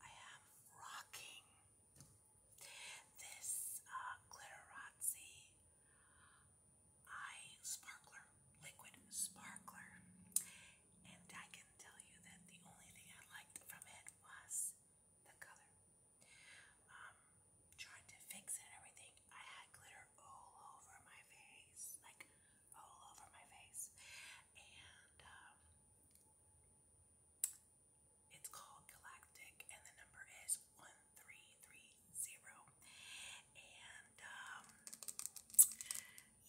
I am rocking this uh, Glitterazzi Eye Sparkler, Liquid Sparkler. And I can tell you that the only thing I liked from it was the color. Um, trying to fix it everything, I had glitter all over my face, like all over my face. And um, it's called Galactic, and the number is 1330. And, um,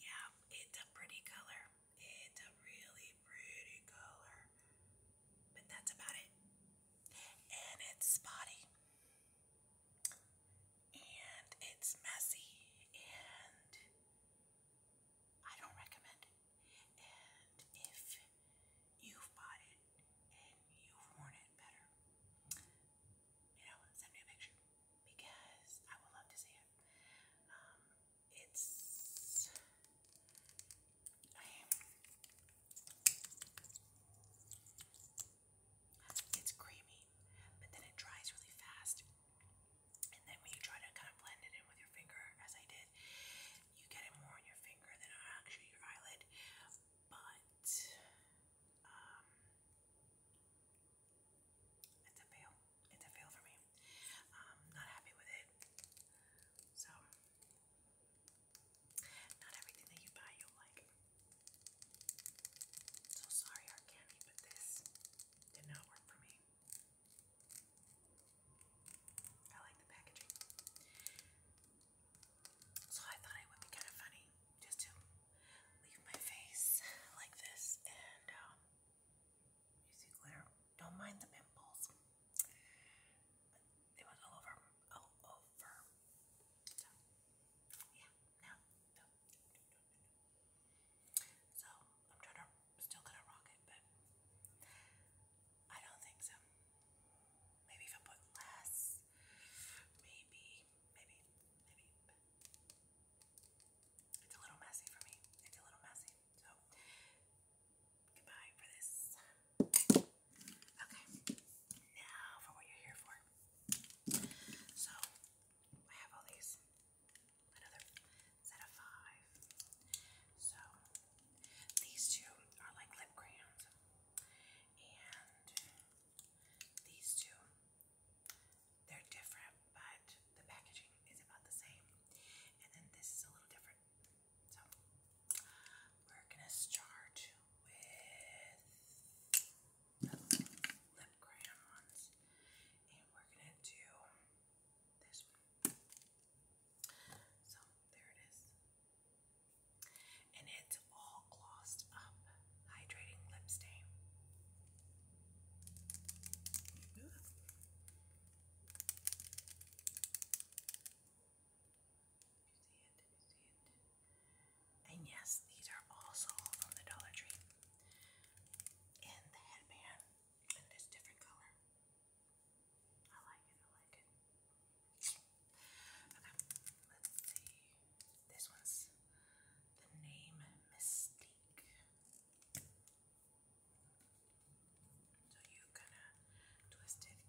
yeah, it's a pretty color. It's a really pretty color. But that's about it. And it's spotty. And it's messy. And I don't recommend it and if you've bought it and you've worn it better, you know, send me a picture because I would love to see it. Um, it's I am, it's creamy, but then it dries really fast. And then when you try to kind of blend it in with your finger, as I did, you get it more on your finger than actually your eyelid. But um, it's a fail. It's a fail for me. Um, not happy with it. So not everything that you buy you like. So sorry, Arcani, but this did not work for me. I like the packaging. So I thought it would be kind of funny just to leave my face like this and um, you glitter. Don't mind the pimples. it was all over. All over. So, yeah, So, I'm trying to still gonna rock it, but I don't think so. Maybe if I put less, maybe, maybe, maybe. it's a little messy for me. It's a little messy. So goodbye for this. Okay, now for what you're here for. So I have all these another set of five. So these two are like lip crayons, and these two they're different, but the packaging is about the same. And then this is a little different. So we're gonna start with lip crayon and we're gonna do this one. So there it is. And it's all glossed up hydrating lip stain. You see it, you see it. And yes, these are also from the Dollar Tree. And the headband in this different color. I like it, I like it. Okay, let's see. This one's the name Mystique. So you kind of twist it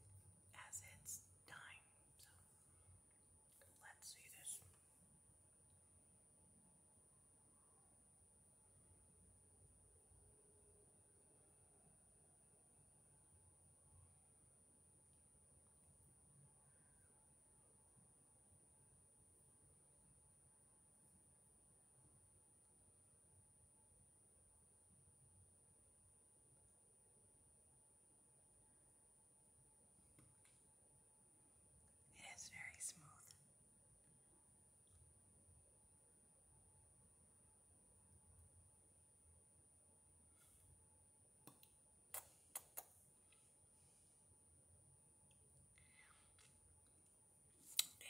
as it's dying. So let's see this. It is very smooth.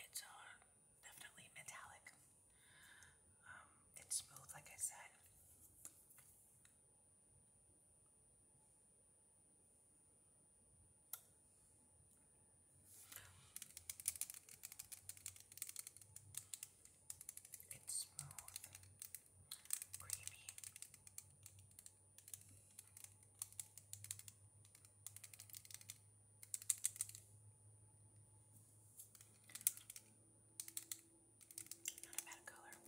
It's uh, definitely metallic. Um, it's smooth, like I said. It's smooth, creamy. Not a bad color.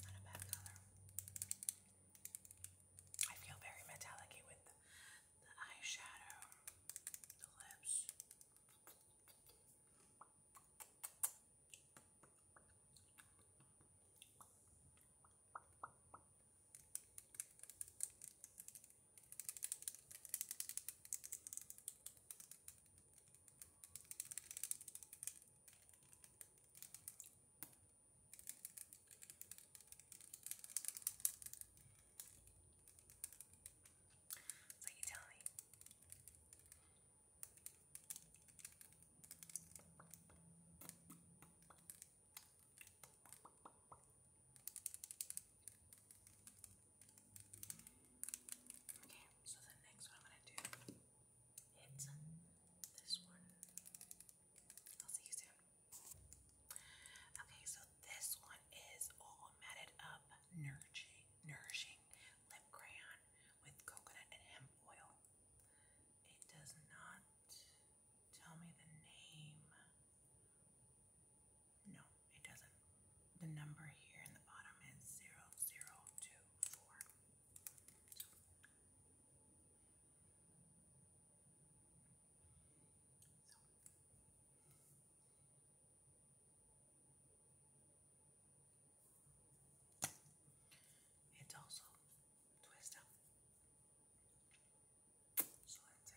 Not a bad color. I feel very metallic with the eyeshadow, the lips. So you tell me. Okay, so the next I'm gonna do it's this one. I'll see you soon. Okay, so this one is all matted up, nourishing, nourishing lip crayon with coconut and hemp oil. It does not tell me the name. No, it doesn't. The number here in the bottom is 0024. So. So it's also twist up. So that's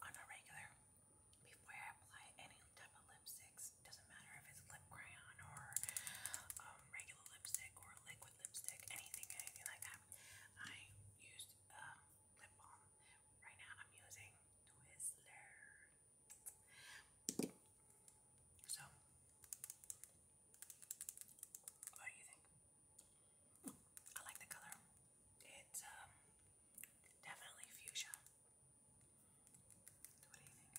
On a regular, before I apply any type of lipsticks, doesn't matter if it's lip crayon or um, regular lipstick or liquid lipstick, anything like that, I use uh, lip balm. Right now I'm using Twizzler. So, what do you think? I like the color. It's um, definitely fuchsia. What do you think?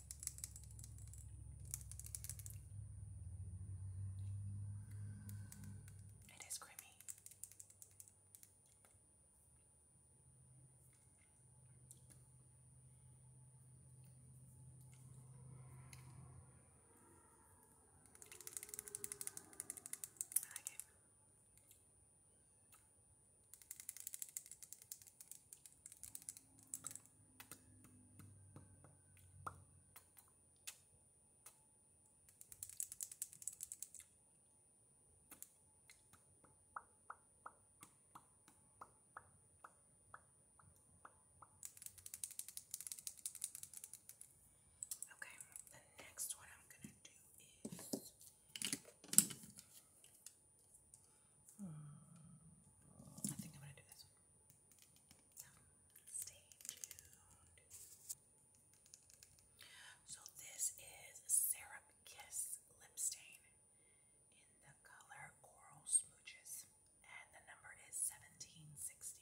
It is creamy. I like it. Okay, the next one I'm gonna do is hmm, I think I'm gonna do this one. Stay tuned. So this is Syrup Kiss Lip Stain in the color Coral Smooches. And the number is 1760.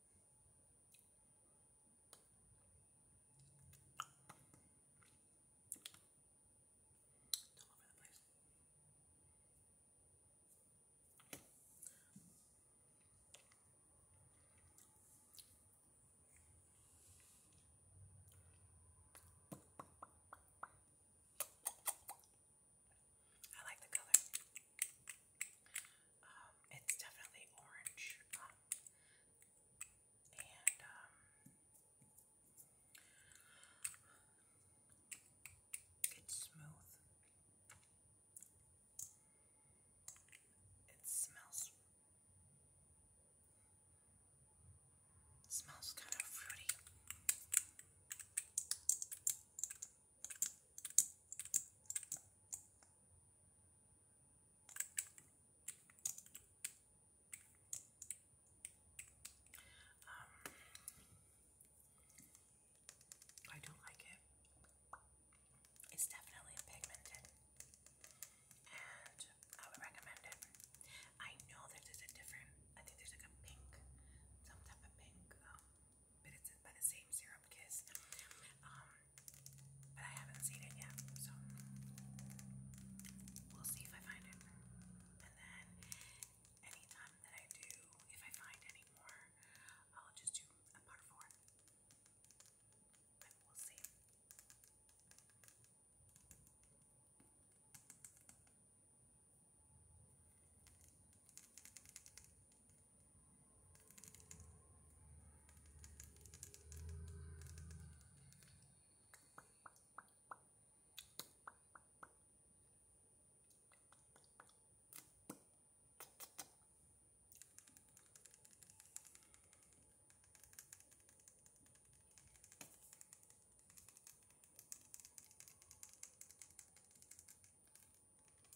It's all I like the color. Um, it's definitely orange. Um, and um, it's smooth. It smells smells kind of fruity. Um, I do like it. It's definitely pigmented, and I would recommend it. I know that there's a different. I think there's like a pink, some type of pink, um, but it's by the same Serum Kiss. Um, but I haven't seen it yet, so we'll see if I find it. And then anytime that I do, if I find any more, I'll just do a part four. But we'll see.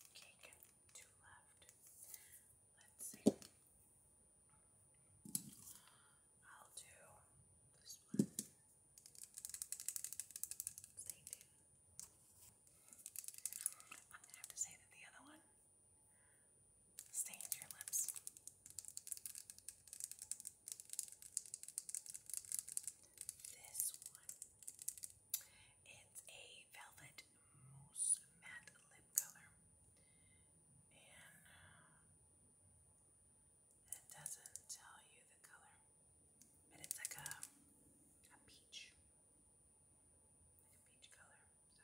Okay, got two left. Let's see. I'll do this one. I'm gonna have to say that the other one stains your lips. This one. It's a velvet Mousse Matte Lip Color. And it doesn't tell you the color, but it's like a, a peach. Like a peach color. So.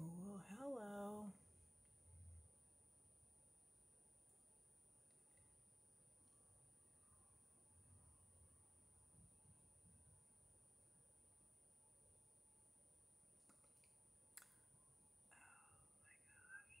Oh, hello. Oh my gosh.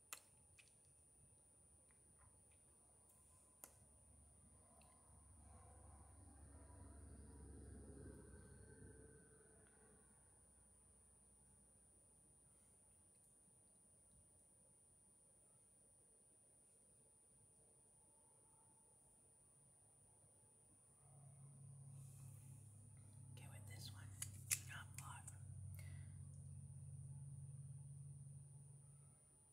Okay, with this one, not a lot.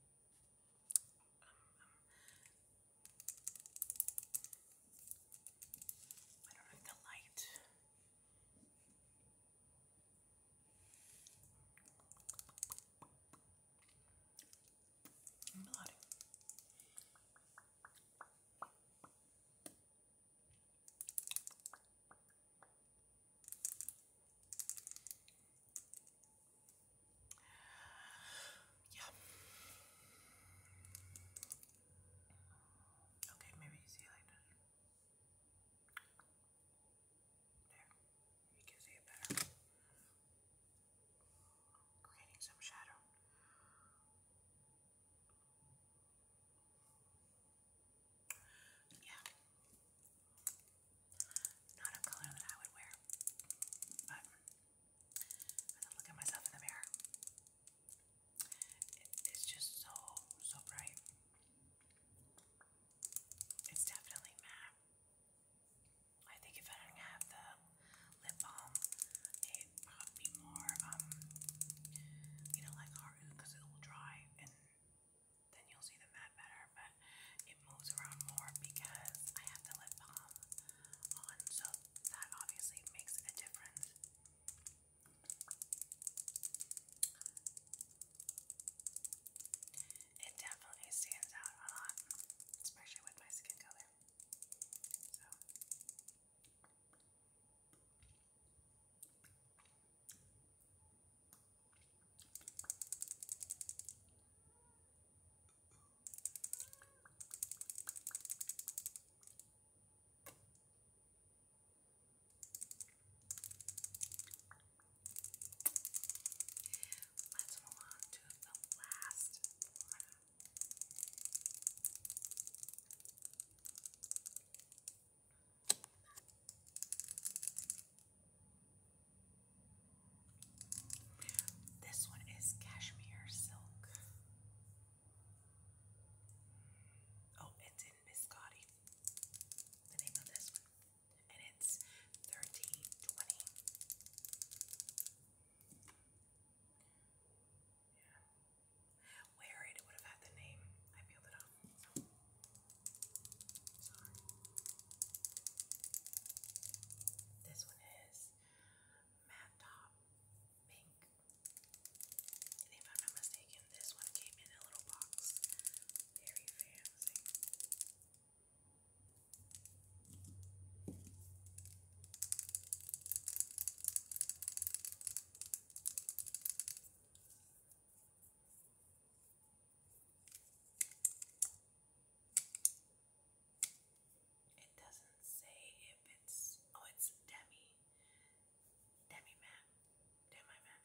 um, I don't like the light. Yeah. Okay, maybe you see like this. There, you can see it better. Creating some shadow. Yeah. Not a color that I would wear, but I look at myself in the mirror. it's just so, so bright. It's definitely matte. I think if I didn't have the lip balm, it would be more, um, you know, like Haru, because it will dry and then you'll see the mat better, but it moves around more because I have the lip balm on, so that obviously makes a difference. It definitely stands out a lot, especially with my skin color. So. Let's move on to the last one. This one is cashmere silk. Oh, it's in biscotti. The name of this one. And it's 1320. Yeah. Wear it would have had the name. I peeled it off. Sorry. This one is matte top pink. if I'm not mistaken, this one came in a little box. Very fancy. It doesn't say if it's oh it's demi demi map demi map demi map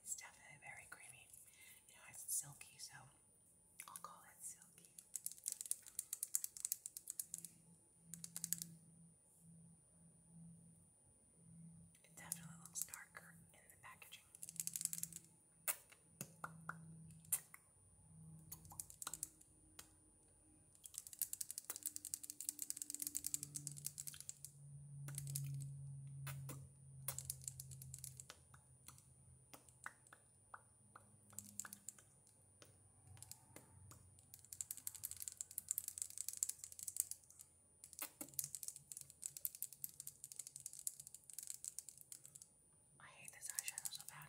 It's definitely very creamy. You know, it's silky, so I'll call it silky. It definitely looks darker in the packaging. I hate this eyeshadow so bad.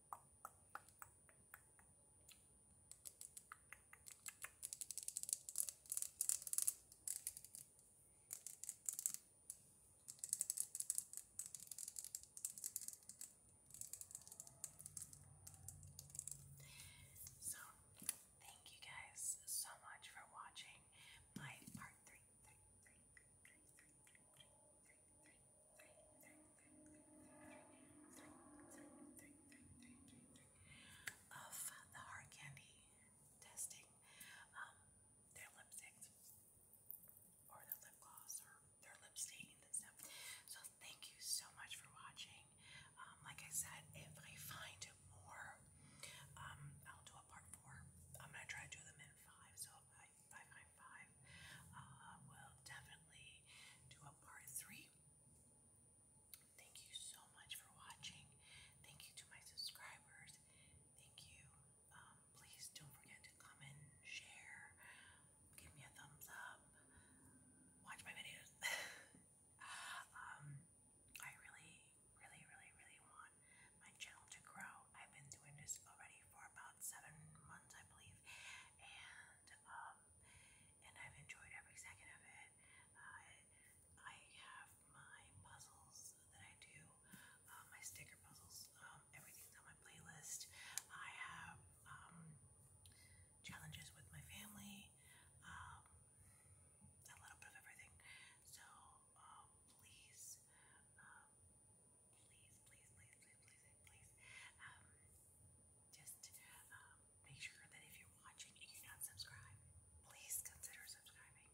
So, thank you guys so much for watching my part three, three, three, three, three, three, three, three, of the hard candy testing um, their lipsticks or their lip gloss or their lip stains and stuff. So thank you so much for watching. Um, like I said, if I find more, um, I'll do a part four. I'm gonna try to do them in five, 555. Uh, we'll definitely do a part three. Thank you so much for watching. Thank you to my subscribers. Thank you. Um, please don't forget to comment, share, give me a thumbs up, watch my videos. um, I really, really, really, really want my channel to grow. I've been doing this already for about seven months, I believe, and um, and I've enjoyed every second of it. Uh, I have my puzzles that I do, uh, my sticker puzzles. Um, everything's on my playlist. I have um, challenges with my family. Um, a little bit of everything. So please please, please, please, please, please, please, um, just um, make sure that if you're watching and you're not subscribed, please consider subscribing.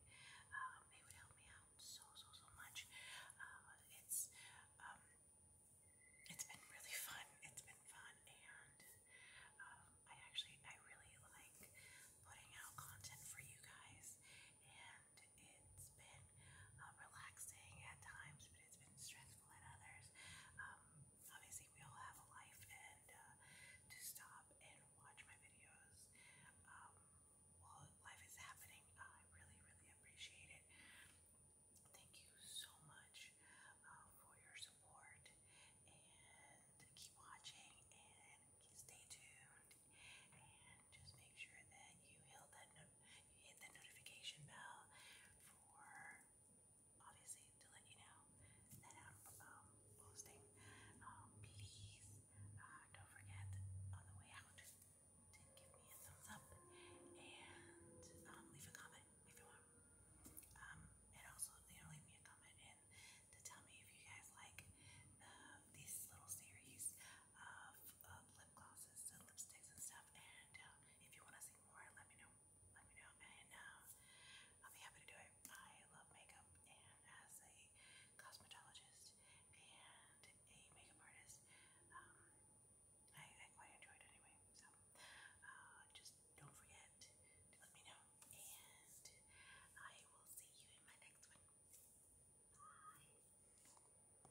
Um, it would help me out so, so, so much. Uh, it's, um, it's been really fun. It's been fun, and um, I actually, I really like putting out content for you guys, and it's been uh, relaxing at times, but it's been stressful at others. Um, obviously, we all have a life, and uh, to stop and watch my videos um, while life is happening, I really, really appreciate it. Thank you so much uh, for your support, and keep watching and stay tuned. And just make sure that you hit that hit the notification bell for obviously to let you know that I'm um, posting. Um, please uh, don't forget on the way out to give me a thumbs up and um, leave a comment if you want. and also, you know, leave me a comment and to tell me if you guys like uh, this little series lip glosses and lipsticks and stuff. And uh, if you want to see more, let me know. Let me know, and uh, I'll be happy to do it. I love makeup, and as a cosmetologist and a makeup artist, um, I, quite enjoy it anyway. So uh, just don't forget to let me know, and I will see you in my next one. Bye.